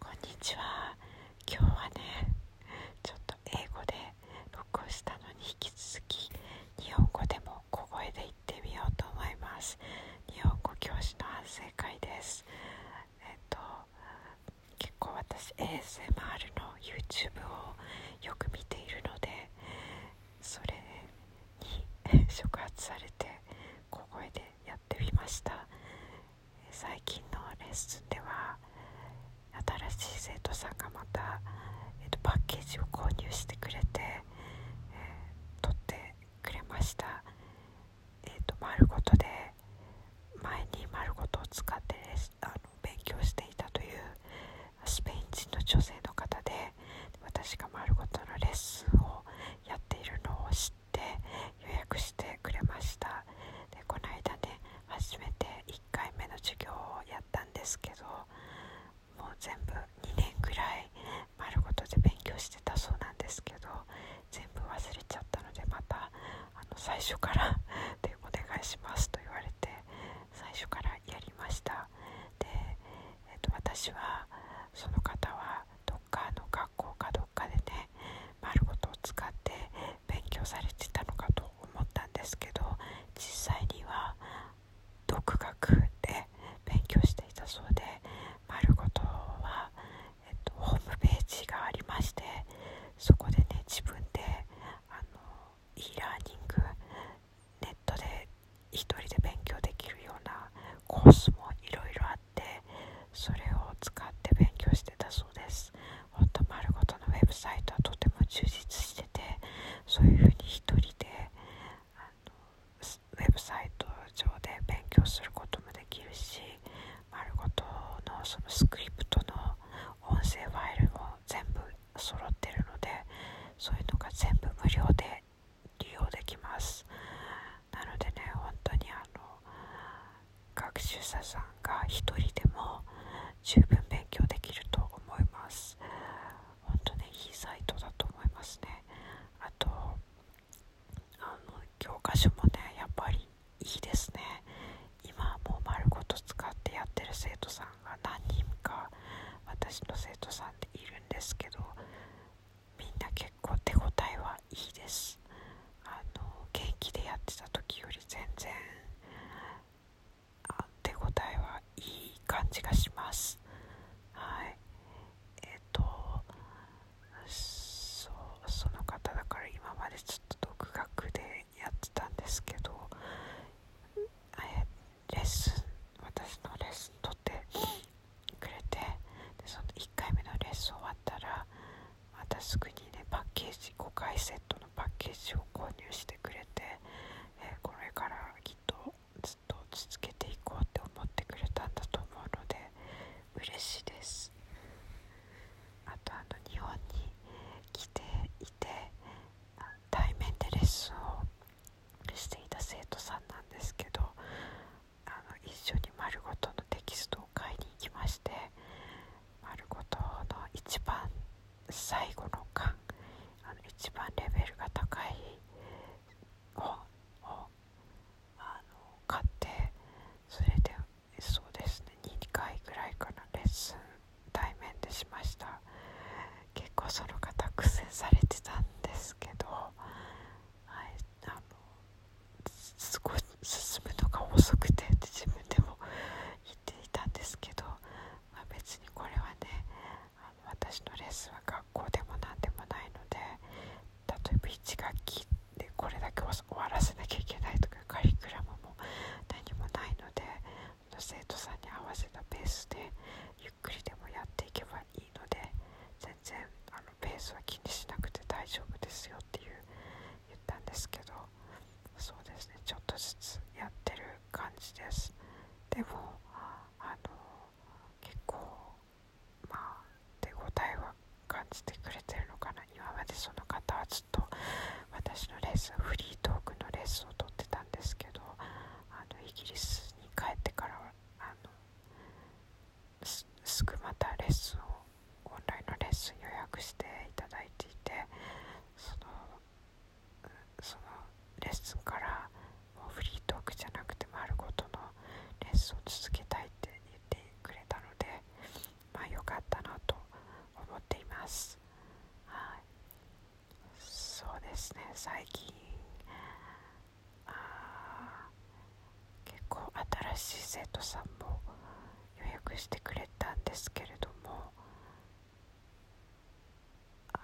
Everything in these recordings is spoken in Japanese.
こんにちは今日はねちょっと英語で録音したのに引き続き日本語でも小声で言ってみようと思います日本語教師の反省会ですえっと結構私 ASMR の YouTube をよく見ているのでそれに 触発されて小声でやってみました最近のレッスンでは新しい生徒さんがまた、パッケージを購入してくれて、え取ってくれました、えーと、丸ごとで前に丸ごとを使って勉強していたというスペイン人の女性の方で私が丸ごとのレッスンをやっているのを知ってで予約してくれましたでこの間ね初めて1回目の授業をやったんですけどもう全部2年ぐらい丸ごとで勉強してたそうなんですけど全部忘れちゃったのでまたあの最初から でお願いしますと言われて最初からやりましたで、えー、と私はその方はどっかの学校かどどっかでね丸ごとを使って勉強されてたのかと思ったんですけど実際には独学で勉強していたそうで丸ごとは、えっと、ホームページがありましてそこでね自分で e ラーニングネットで一人で勉強できるようなコースもいろいろああってそれを使って勉強してたそうですほん丸ごとのウェブサイトはとても充実しててそういうふうに一人でウェブサイト上で勉強することもできるし丸ごとのそのスクリプトの音声ファイルも全部揃ってるのでそういうのが全部無料で利用できますなのでね本当にあの学習者さんが一人でも十分勉強できると思います本当ねいいサイトだと思いますねあとあの教科書もねやっぱりいいですね今もう丸ごと使ってやってる生徒さんが何人か私の生徒さんでいるんですけどみんな結構手応えははいいですあの現役でやってた時より全然手応えはいい感じがしますはいえっ、とそうその方だから今までちょっと独学でやってたんですけどレッスン私のレッスンとってくれてでその1回目のレッスン終わったらまたすぐにねパッケージ5回セットのパッケージを購入してくれて、えこれからきっとずっと続けていこうって思ってくれたんだと思うので嬉しいですあとあの日本に来ていて対面でレッスンをしていた生徒さんなんですけどあの一緒に丸ごとのテキストを買いに行きまして丸ごとの一番最後の巻あの一番レベルが高い本をあの買ってそれでそうですね2回ぐらいかなレッスン対面でしました結構その方苦戦されてたんですけど、はい、あのすご進むのが遅くてって自分でも言っていたんですけど、ま別にこれはねあの私のレッスンは学校でも何でもないので例えば1学期でこれだけ終わらせなきゃいけないとかカリキュラムも何もないので生徒さんに合わせたペースでゆっくりでもやっていけばいいので全然あのペースは気にしなくて大丈夫ですよっていう言ったんですけどそうですねちょっとずつやってる感じですでもあの結構まあ手応えは感じてくれてるのかな今までその方はずっと私のレースフリートークのレースをとってたんですけどあのイギリスに帰ってからはあのすぐまたレッスンをオンラインのレッスン予約していただいていてそのそのレッスンからもうフリートークじゃなくて丸ごとのレッスンを続けたいって言ってくれたのでまあよかったなと思っていますはいそうですね最近あ結構新しい生徒さんも予約してくれたんですけれどもあ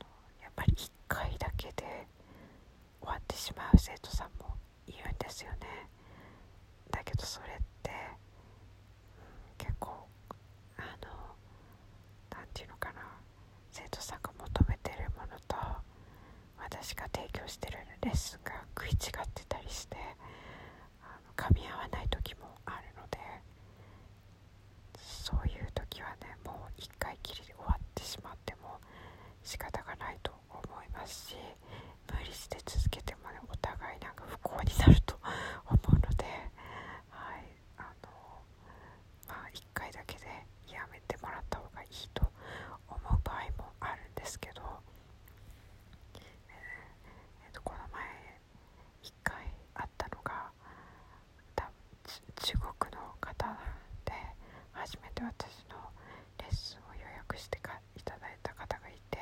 のやっぱり1回だけで終わってしまう生徒さんもいるんですよねだけどそれって、結構あの何て言うのかな生徒さんが求めてるものと私が提供してるレッスンが食い違ってたりしてあの噛み合わない時もあるのでそういう時はねもう1回きりで終わってしまっても仕方がないと思いますし無理して続けてもねお互いなんか不幸になると思うのではいあのまあ1回だけでやめてもらった方がいいと思う場合もあるんですけど、この前1回あったのが中国の方で初めて私のレッスンを予約していただいた方がいて、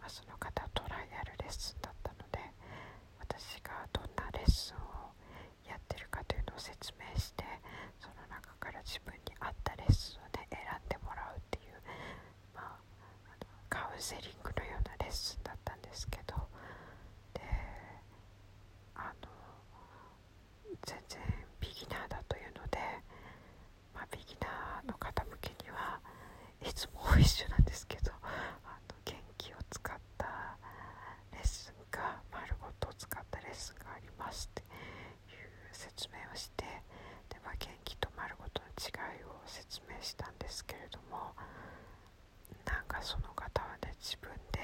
まその方トライアルレッスンだったので私がどんなレッスンをやってるかというのを説明してその中から自分に合ったレッスンを、ね、選んでもらうっていう、まあ、カウンセリングのようなレッスンだったんですけどであの全然ビギナーだというので、まビギナーの方向けにはいつも一緒なんですけどあの元気を使ったレッスンが丸ごとを使ったレッスンがありますっていう説明をしてで、ま元気と丸ごとの違いを説明したんですけれどもなんかその方はね自分で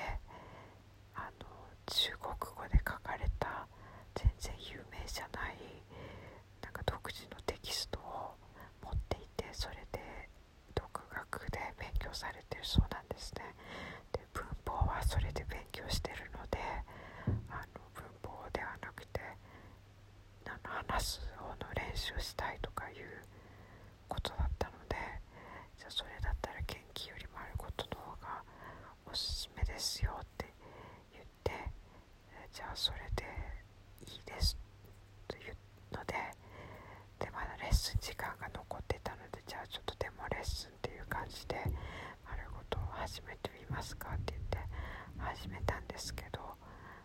あの中国語で書かれた全然有名じゃないなんか独自のテキストを持っていてそれで独学で勉強されてるそうなんですね。文法はそれで勉強してるのであの文法ではなくて話す方の練習したいとかいうことだったのでじゃあそれだったら研究よりもあることの方がおすすめですよって言ってじゃあそれでいいですというのででまだレッスン時間が残ってたのでじゃあちょっとでもレッスンっていう感じで丸ごと始めてみますかって言って始めたんですけど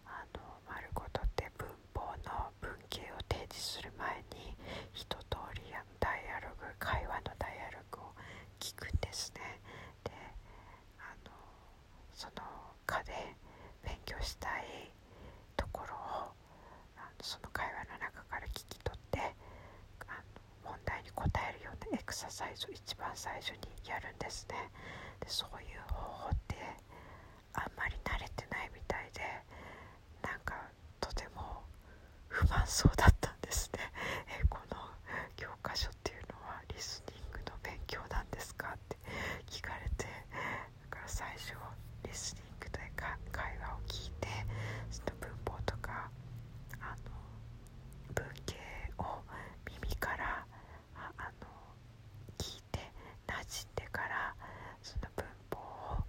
あの丸ごとって文法の文型を提示する前に一通りのダイアログ会話のダイアログを聞くんですね。であのその課で勉強したいところをその会話の中から聞き取ってあの問題に答えるようなエクササイズを一番最初にやるんですねでそういう方法ってあんまり慣れてないみたいでなんかとても不満そうだったんですねえこの教科書っていうのはリスニングの勉強なんですかって聞かれてだから最初クというか会話を聞いてその文法とかあの文系を耳からあの聞いてなじんでからその文法を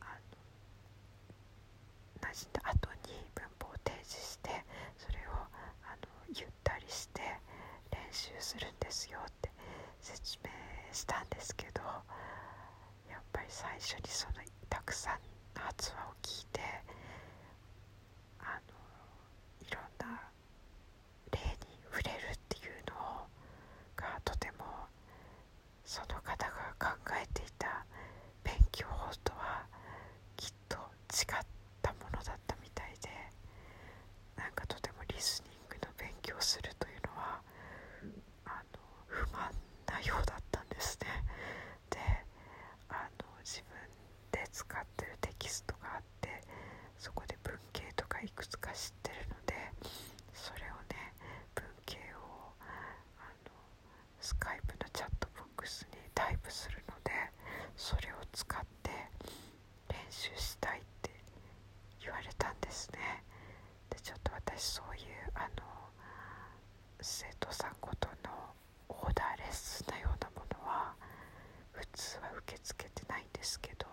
あの馴染んだ後に文法を提示してそれをあのゆったりして練習するんですよって説明したんですけど。やっぱり最初にそのたくさんの発話を聞いてあのいろんな例に触れるっていうのがとてもその方が考えていた勉強法とはきっと違ったものだったみたいでなんかとてもリスニングの勉強をするというのは不満なようだったんですねであの自分で使ってるテキストがあってそこで文系とかいくつか知ってるのでそれをね文系をあのスカイプのチャットボックスにタイプするのでそれを使って練習したいって言われたんですねでちょっと私そういうあの生徒さんごとのオーダーレッスンのようなものは普通は受け付けてないんですけど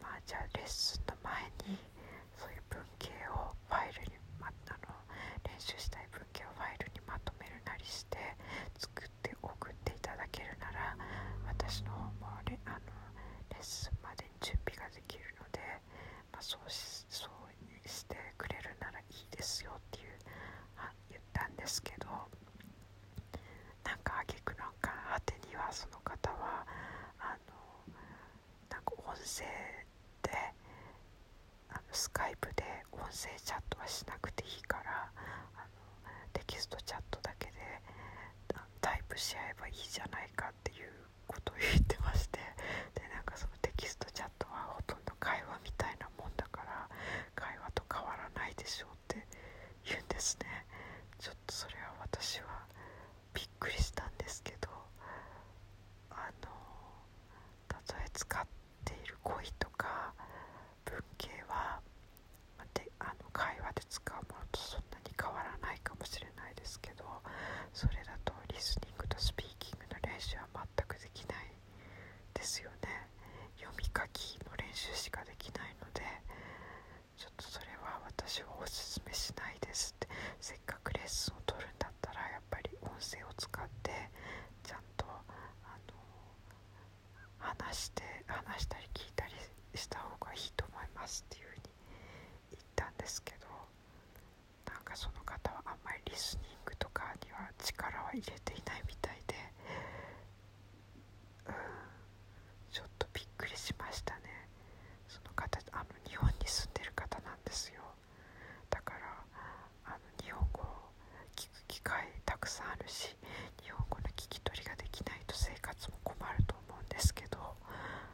まあじゃあレッスンの前にそういう文系をファイルに、ま、あの練習したい文系をファイルにまとめるなりして作って送っていただけるなら私の方もレあのレッスンまで準備ができるのでまそうしてくれるならいいですよっていう言ったんですけどなんか挙句なんか果てにはその方はあのなんか音声でスカイプで音声チャットはしなくていいからあのテキストチャットだけでタイプし合えばいいじゃないかっていうこと言ってましてでなんかそのテキストチャットはほとんど会話みたいなもんだから会話と変わらないでしょうって言うんですねちょっとそれは私はびっくりしたんですけどあのたとえ使っている恋とか文系はであの会話で使うものとそんな変わらないかもしれないですけどそれだとリスニングとスピーキングの練習は全くできないですよね読み書きの練習しかできないのでちょっとそれは私はおすすめしないですってせっかくレッスンをとるんだったらやっぱり音声を使ってちゃんとあの話して話したり聞いたりした方がいいと思いますっていうふうに言ったんですけどなんかその方はあんまりリスニングとかには力は入れていないみたいでうんちょっとびっくりしましたねその方あの日本に住んでる方なんですよだからあの日本語を聞く機会たくさんあるし日本語の聞き取りができないと生活も困ると思うんですけど